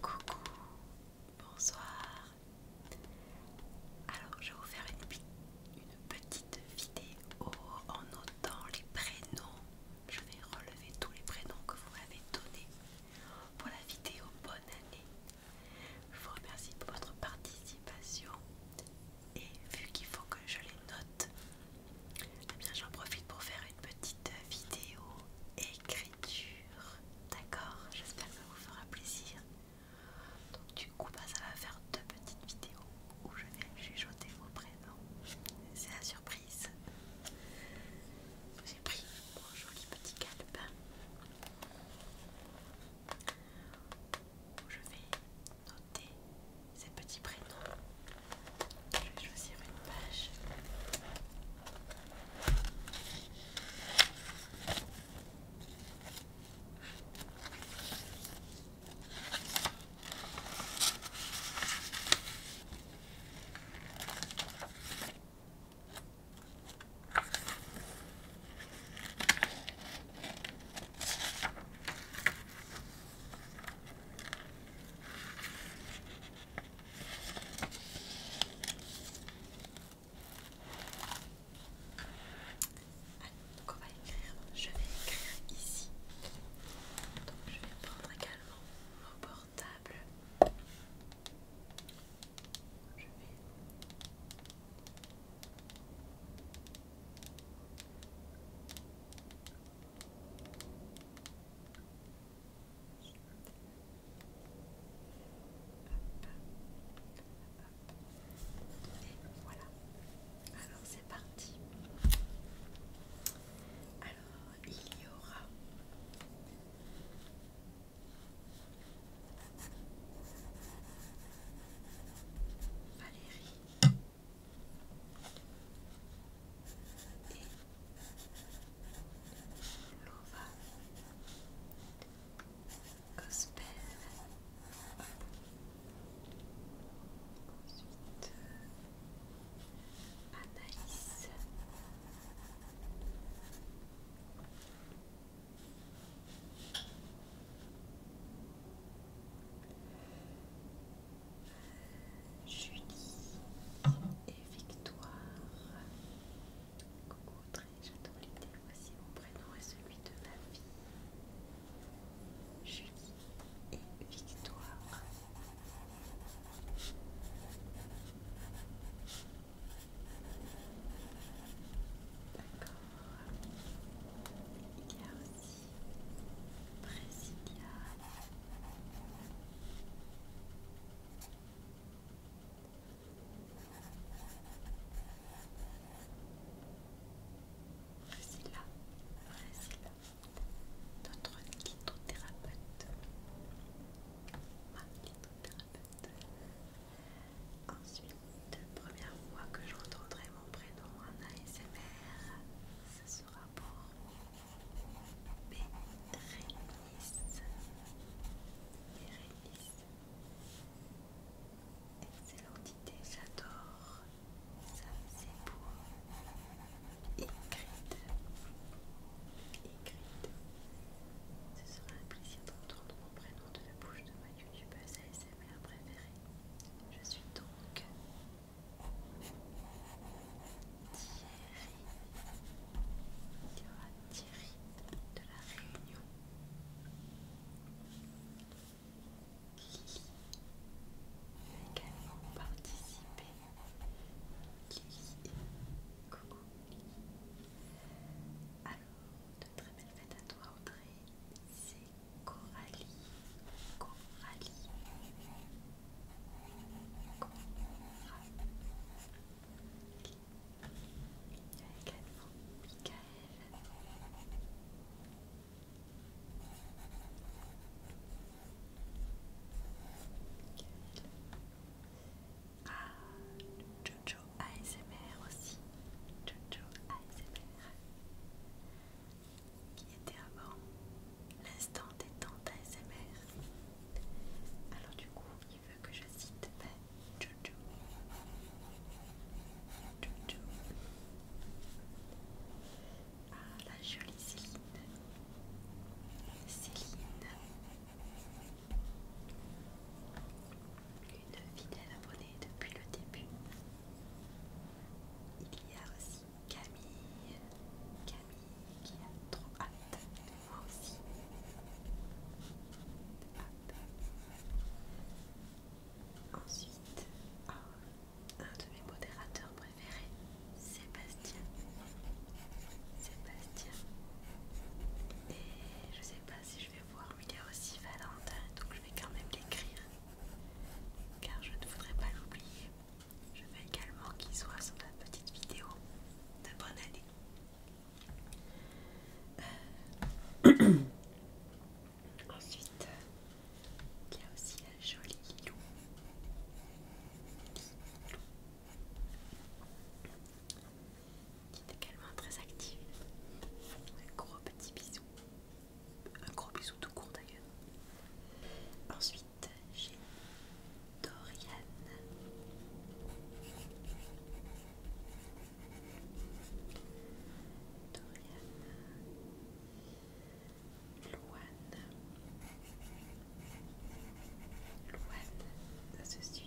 Coucou, bonsoir. Alors, je vais vous faire une, petite vidéo en notant les prénoms. Je vais relever tous les prénoms que vous m'avez donnés pour la vidéo Bonne année. Je vous remercie pour votre participation. Et vu qu'il faut que je les note, eh bien, j'en profite pour faire une petite vidéo écriture. D'accord J'espère que ça vous fera plaisir. Donc, du coup, bah, ça va faire deux petites vidéos où je vais chuchoter vos prénoms. C'est la surprise. J'ai pris mon joli petit calepin. Je vais noter ces petits prénoms. Je vais choisir une page donc on va écrire, je vais écrire ici. Donc je vais prendre également mon portable voilà. Alors c'est parti. Alors il y aura Valérie et l'ovale ensuite Anaïs Julie et Victoire. Coucou, très j'adore l'idée. Voici mon prénom et celui de ma fille. Julie et Victoire. D'accord il y a aussi Brésilia. Priscilla, Priscilla, notre litothérapeute, ma litothérapeute, Ensuite, première fois que je retrouverai mon prénom en ASMR, ce sera pour Bérénice. Bérénice. Excellente idée, j'adore. Ça, c'est pour écrite écrite Ce sera un plaisir d'entendre mon prénom de la bouche de ma youtubeuse ASMR préférée préférée. Je suis donc Thierry. Thierry de la Réunion. qui a également participer. Lily, Alors, une très belle fête à toi Audrey. C'est Coralie. Coralie. Coralie. Il y a également Mickaël, Mickaël. Ah, Jojo ASMR aussi. Jojo ASMR. Qui était avant l'instant des tentes ASMR. Alors du coup, il veut que je cite ben, Jojo. Jojo. Ah, la jolie Céline. Céline. Une fidèle abonnée depuis le début. Il y a aussi Camille. Camille qui a trop hâte de aussi. Ensuite, un de mes modérateurs préférés, Sébastien. Sébastien. Et je sais pas si je vais voir, mais il est aussi Valentin, donc je vais quand même l'écrire, car je ne voudrais pas l'oublier. Je veux également qu'il soit sur la petite vidéo de bonne année. Euh. Ensuite, il y a aussi la jolie loup qui est également très active. Un gros petit bisou. Un gros bisou tout court d'ailleurs. Ensuite, j'ai Dorian. Dorian. Louane Louane, ça se suit.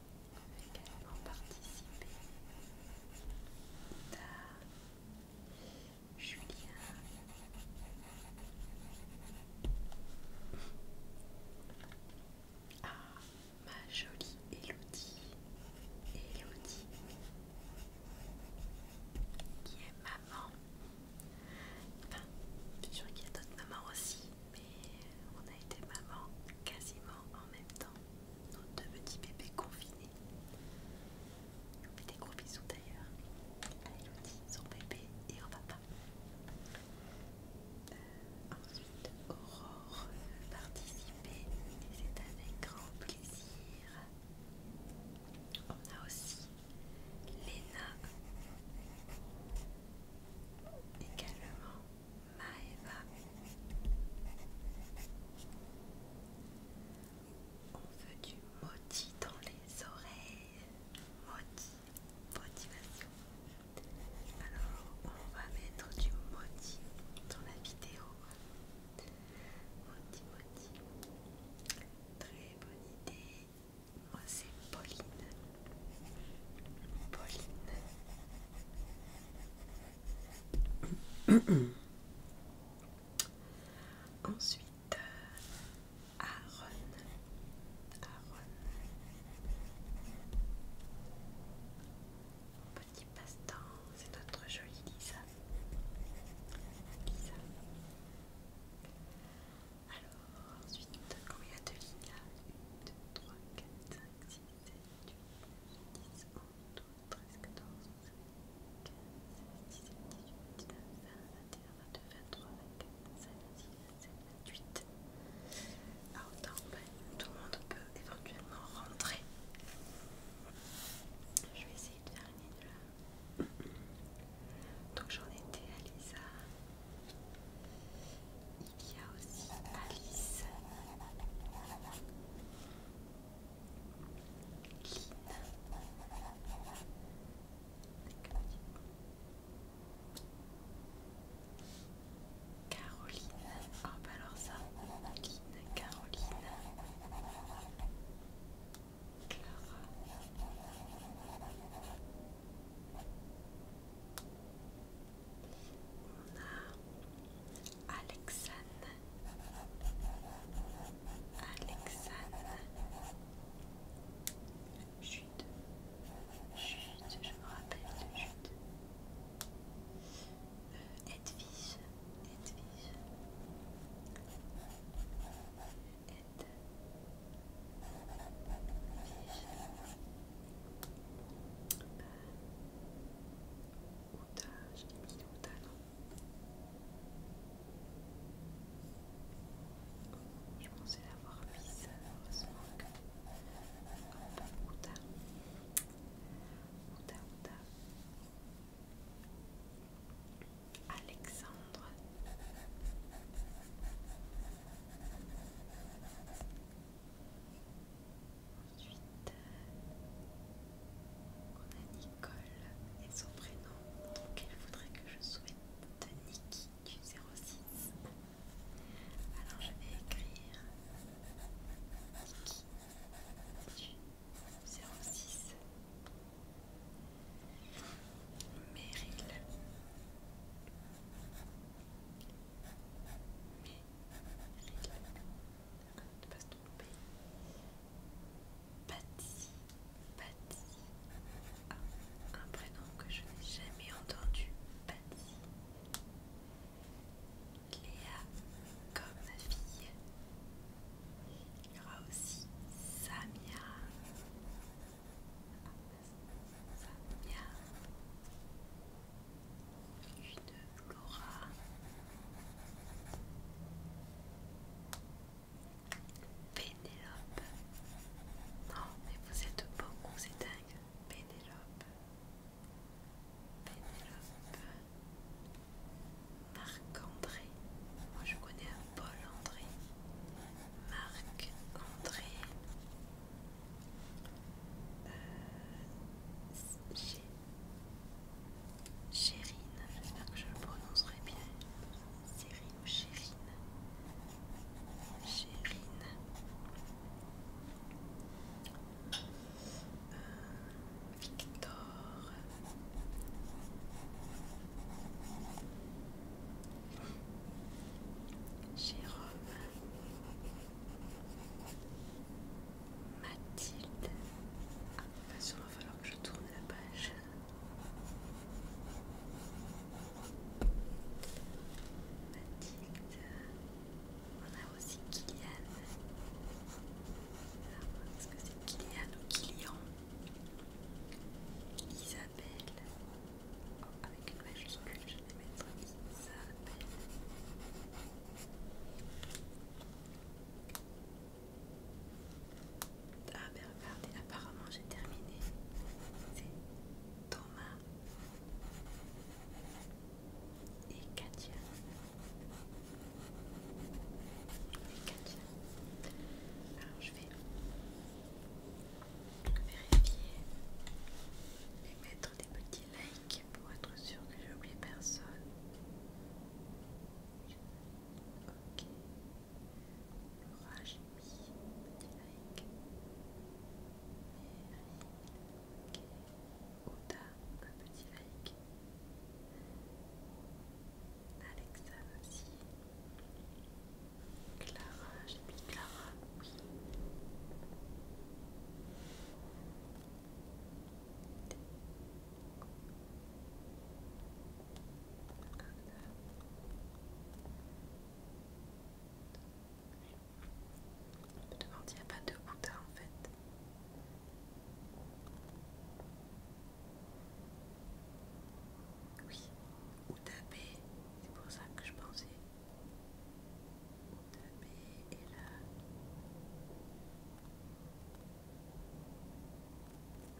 également participé à Julien. Ah, ma jolie Elodie, Elodie, qui est maman. Enfin, je suis sûre qu'il y a d'autres mamans aussi, mais on a été maman quasiment en même temps. Nos deux petits bébés confinés. Des gros bisous d'ailleurs à Elodie, son bébé et au papa. Euh, ensuite, Aurore participer. et c'est avec grand plaisir. On a aussi Léna également Maeva. On veut du maudit dans les oreilles. moti, motivation. Alors, on va mettre du moti dans la vidéo. moti moti, Très bonne idée. Moi, c'est Pauline. Pauline. Ensuite, euh, Aaron. petit passe-temps, c'est notre jolie Lisa. Lisa. Alors, ensuite, combien de 2, 3, 4, 7, 8, 9, 10, 11, 12, 13, 14, 15, 17, 18, 19, 20, 21, 22, 23, 24, 25, 26, 27, 28. Alors, autant, tout le monde peut éventuellement rentrer. Je vais essayer de faire une ligne de là. Donc, j'en étais à Lisa. Il y a aussi Alice, Lynn, Caroline. bah alors ça, Caroline. On a Alexane. Alexane. Chute. Chute, je me rappelle chute. Euh, Edwige. Edwige. Ed. Je pensais l'avoir heureusement que... Alexandre Ensuite, euh, on a Nicole et son prénom, donc elle voudrait que je souhaite Niki du 06. Alors je vais écrire Niki du 06. Meryl mais ne de pas se tromper. Patty, Patty, un prénom que je n'ai jamais entendu, Patty. Léa, comme ma fille. Il y aura aussi Samia. Fabien, une Laura, Pénélope. Non, mais vous êtes beaucoup, c'est dingue. Pénélope, Pénélope, Marc-André. Moi je connais un Paul-André. Marc-André euh, Chérine, j'espère que je le prononcerai bien. Chérine ou Chérine Chérine. Euh, Victor. Jérôme, Mathilde. Ah, bien il va falloir que je tourne la page. Mathilde. On a aussi Kylian. Est-ce que c'est Kylian ou Kylian Isa, Oh, avec une majuscule je vais mettre s'appelle ah ben regardez apparemment j'ai terminé c'est Thomas et Katia et Katia alors je vais je vérifier et mettre des petits likes pour être sûr que j'ai oublié personne. Ok. Laura, petit like. Mary, ok. Oda, un petit like. Alexa aussi. Clara, j'ai mis Clara, oui. Je me demande il n'y a pas de Bouddha en fait. Oui, ou taper, c'est pour ça que je pensais. taper et là.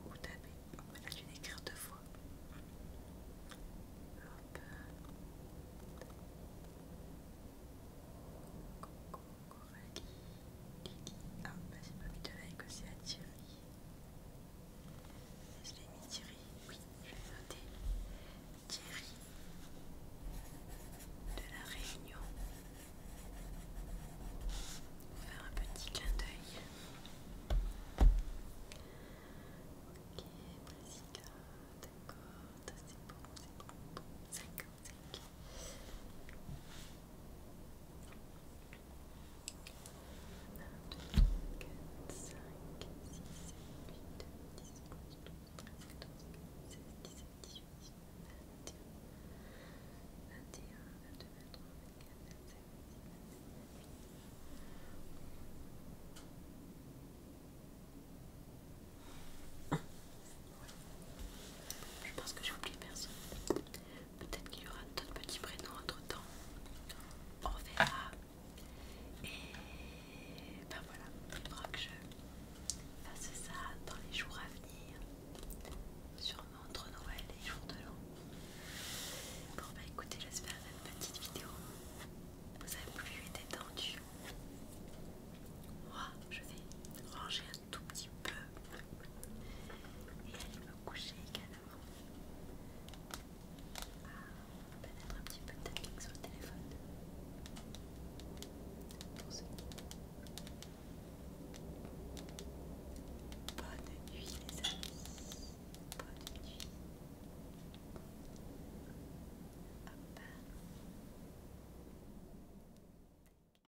Ou on va écrire deux fois. Hop. Ah, bah, c'est pas mis de aussi à je l'ai mis Thierry, oui, je vais noter Thierry de la Réunion. Faire un petit clin d'œil. Ok, Brasica, d'accord, c'est bon, c'est bon, bon, 55. Je pense que j'ai oublié personne. Peut-être qu'il y aura d'autres petits prénoms entre temps. On verra. Ah. Et ben voilà, il faudra que je fasse ça dans les jours à venir. Sûrement entre Noël et jour de l'an. Bon bah écoutez, j'espère que cette petite vidéo vous a plus et détendu Moi, je vais ranger un tout petit peu et aller me coucher également. Ah, on va mettre un petit peu de tapping sur le téléphone. Bonne nuit les amis. Bonne nuit. Hop.